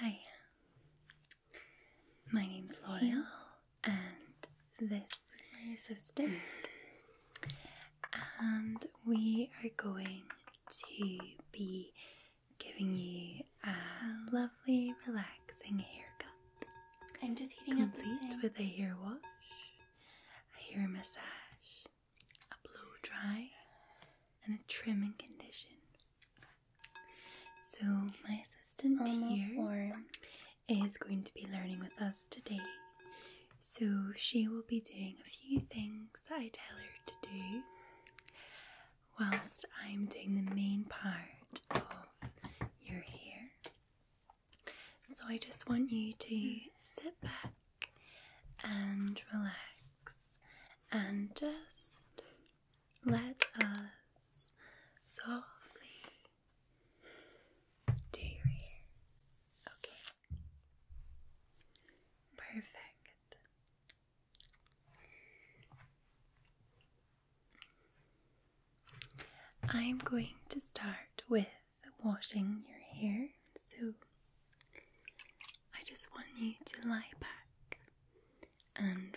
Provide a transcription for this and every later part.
Hi, my name's Laurel, and this is my assistant. And we are going to be giving you a lovely, relaxing haircut. I'm just heating up with a hair wash, a hair massage, a blow dry, and a trim and condition so my assistant almost here is going to be learning with us today. So she will be doing a few things that I tell her to do whilst I'm doing the main part of your hair. So I just want you to sit back and relax and just let us softly do your Okay, perfect. I'm going to start with washing your hair. So I just want you to lie back and relax.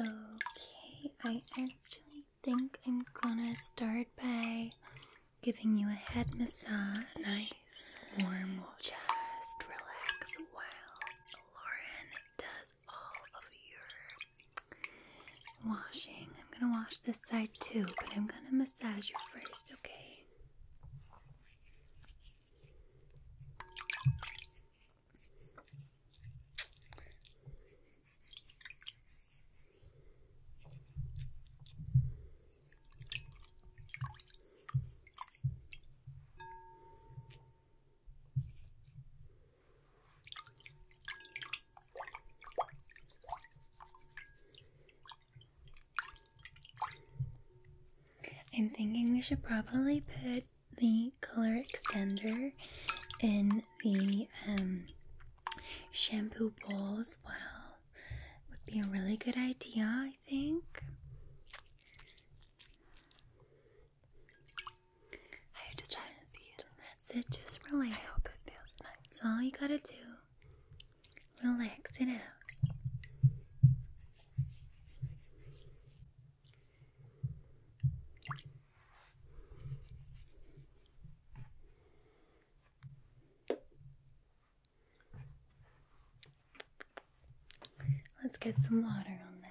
Okay, I actually think I'm gonna start by giving you a head massage. Nice, warm, just relax while Lauren does all of your washing I'm gonna wash this side too, but I'm gonna massage you first, okay? I'm thinking we should probably put the color extender in the um, shampoo bowl as well. Would be a really good idea, I think. I have to try to see That's it, just really I hope it That's all you gotta do relax it out. Let's get some water on that.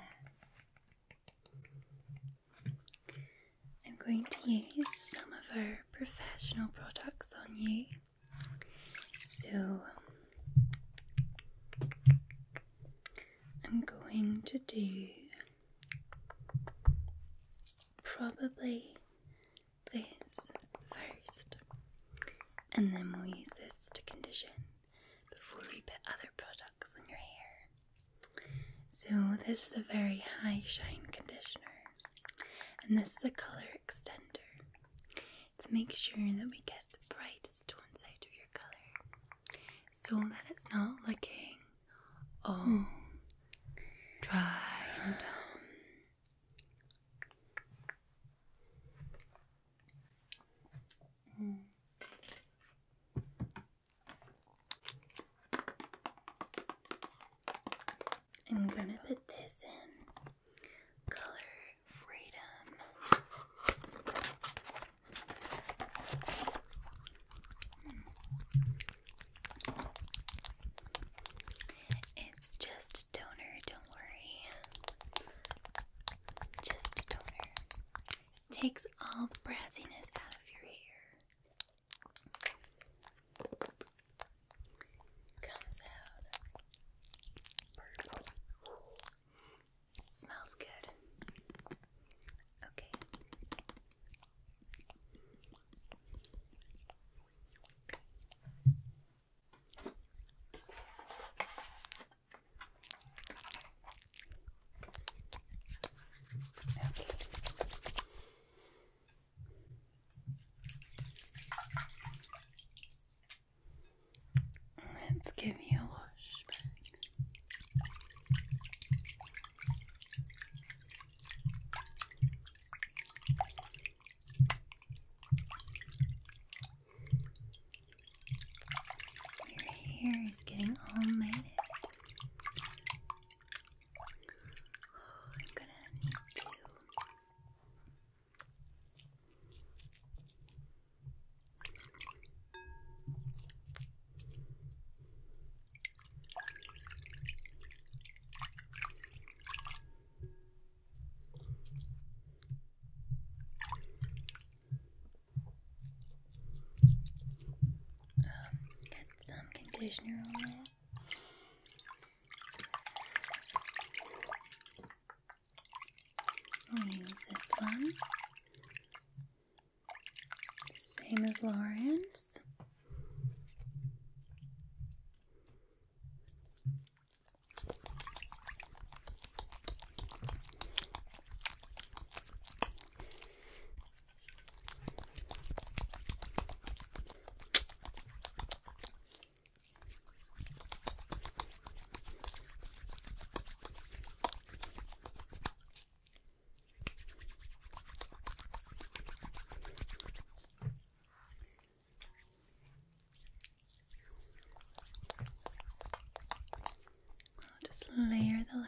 I'm going to use some of our professional products on you. So, I'm going to do probably this first, and then we'll use this to condition before we put other products on your hair. So, this is a very high shine conditioner, and this is a color extender to make sure that we get the brightest one side of your color so that it's not looking all mm. dry and dull. Mm. I'm gonna put this in color freedom. It's just a toner, don't worry. Just a toner. Takes all the brassiness out of your hair. Comes out purple. Smells good. Okay. Okay. Let's give you a wash back. Your hair is getting all matted. I'm gonna need to um, get some conditioner on it use this one. Same as Lauren's. I'll just layer the lip.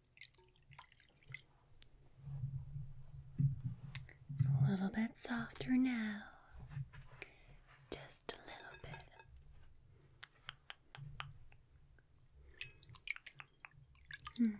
It's a little bit softer now. Just a little bit. Mm.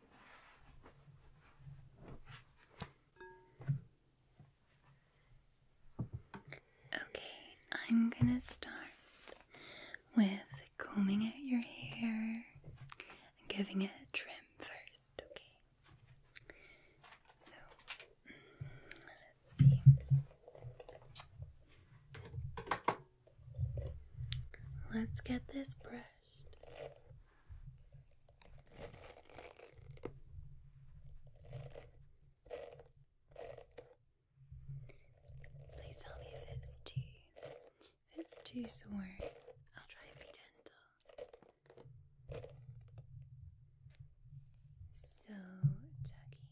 Okay, I'm gonna start with combing out your hair and giving it a trim first, okay? So, let's see. Let's get this brushed. Please tell me if it's too if it's too sore. I'll try and be gentle. So tucky.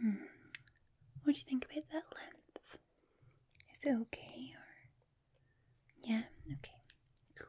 Hmm. What do you think about that length? Is it okay or yeah, okay. Cool.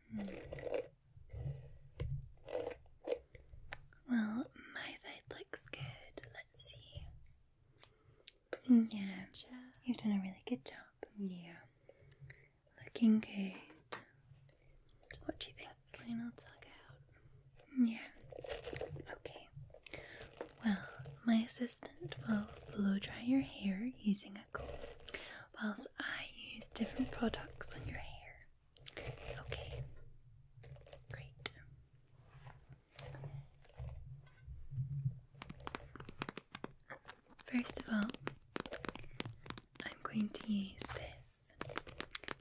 Well, my side looks good. Let's see. Yeah, you've done a really good job. Yeah, looking good. what do you think? Final tug out. Yeah. Okay. Well, my assistant will blow dry your hair using a cool. I use different products on your hair. Okay, great. First of all, I'm going to use this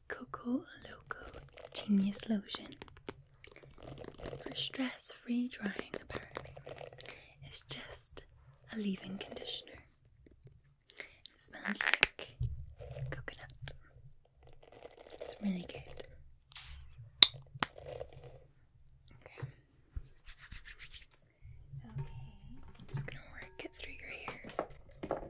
Coco Loco Genius Lotion for stress free drying, apparently. It's just a leave in conditioner. It smells like coconut. It's really good. Okay. Okay, I'm just gonna work it through your hair.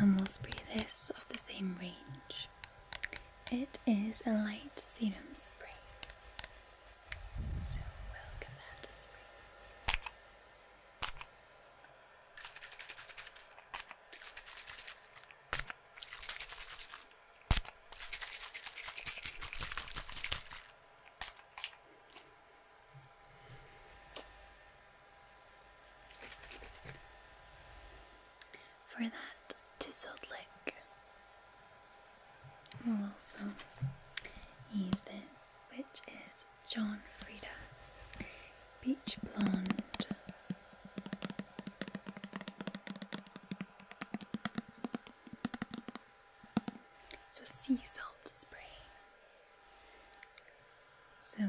Elmosbury this of the same range. It is a light sedum spray. So we'll give that spray. For that to Salt Lake will also use this, which is John Frieda. Beach Blonde. It's a sea salt spray. So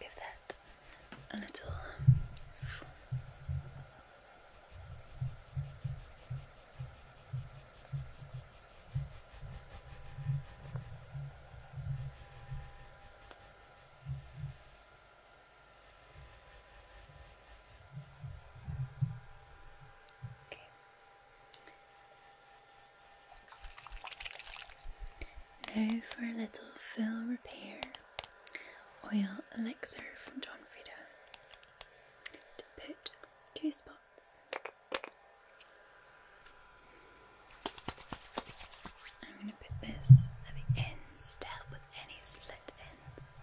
Give that a little. Um, okay. Now for a little full repair oil elixir from John Frieda. Just put two spots. I'm going to put this at the ends to help with any slit ends.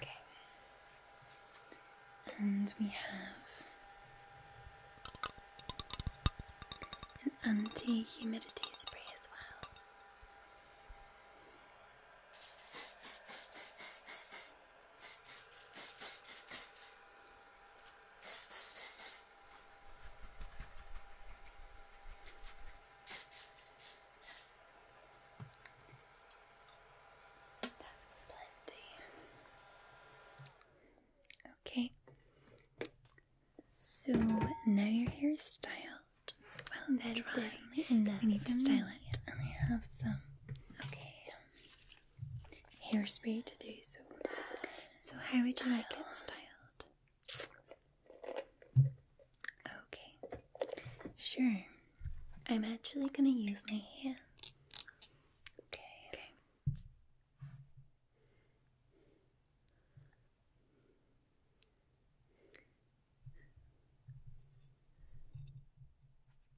Okay. And we have an anti humidity spray as well. That's plenty. Okay. So now your hair is styled. Well, that's definitely enough. We need to style it, and I have some. Okay hairspray to do so. So how would you like it styled? Okay, sure. I'm actually gonna use my hands. Okay.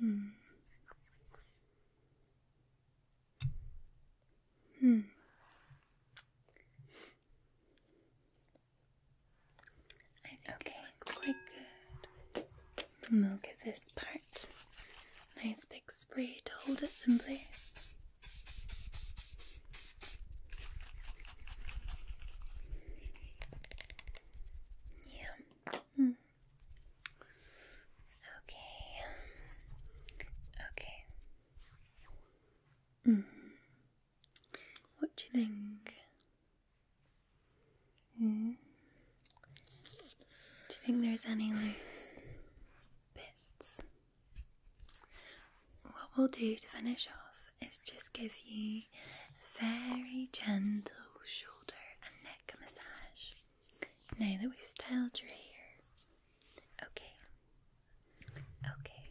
Hmm. Hmm. okay. quite good. And we'll this part nice big spray to hold it in place. Yeah. Hmm. Okay. Okay. Mm. What do you think? Mm. Do you think there's any loose bits? what we'll do to finish off is just give you a very gentle shoulder and neck massage now that we've styled your hair. Okay. Okay.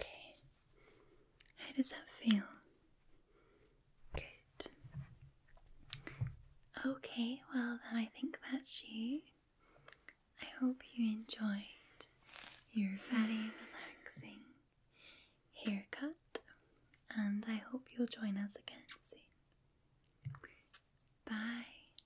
Okay. How does that feel? Good. Okay, well, then I think that's she. I hope you enjoyed your very relaxing haircut, and I hope you'll join us again soon. Bye.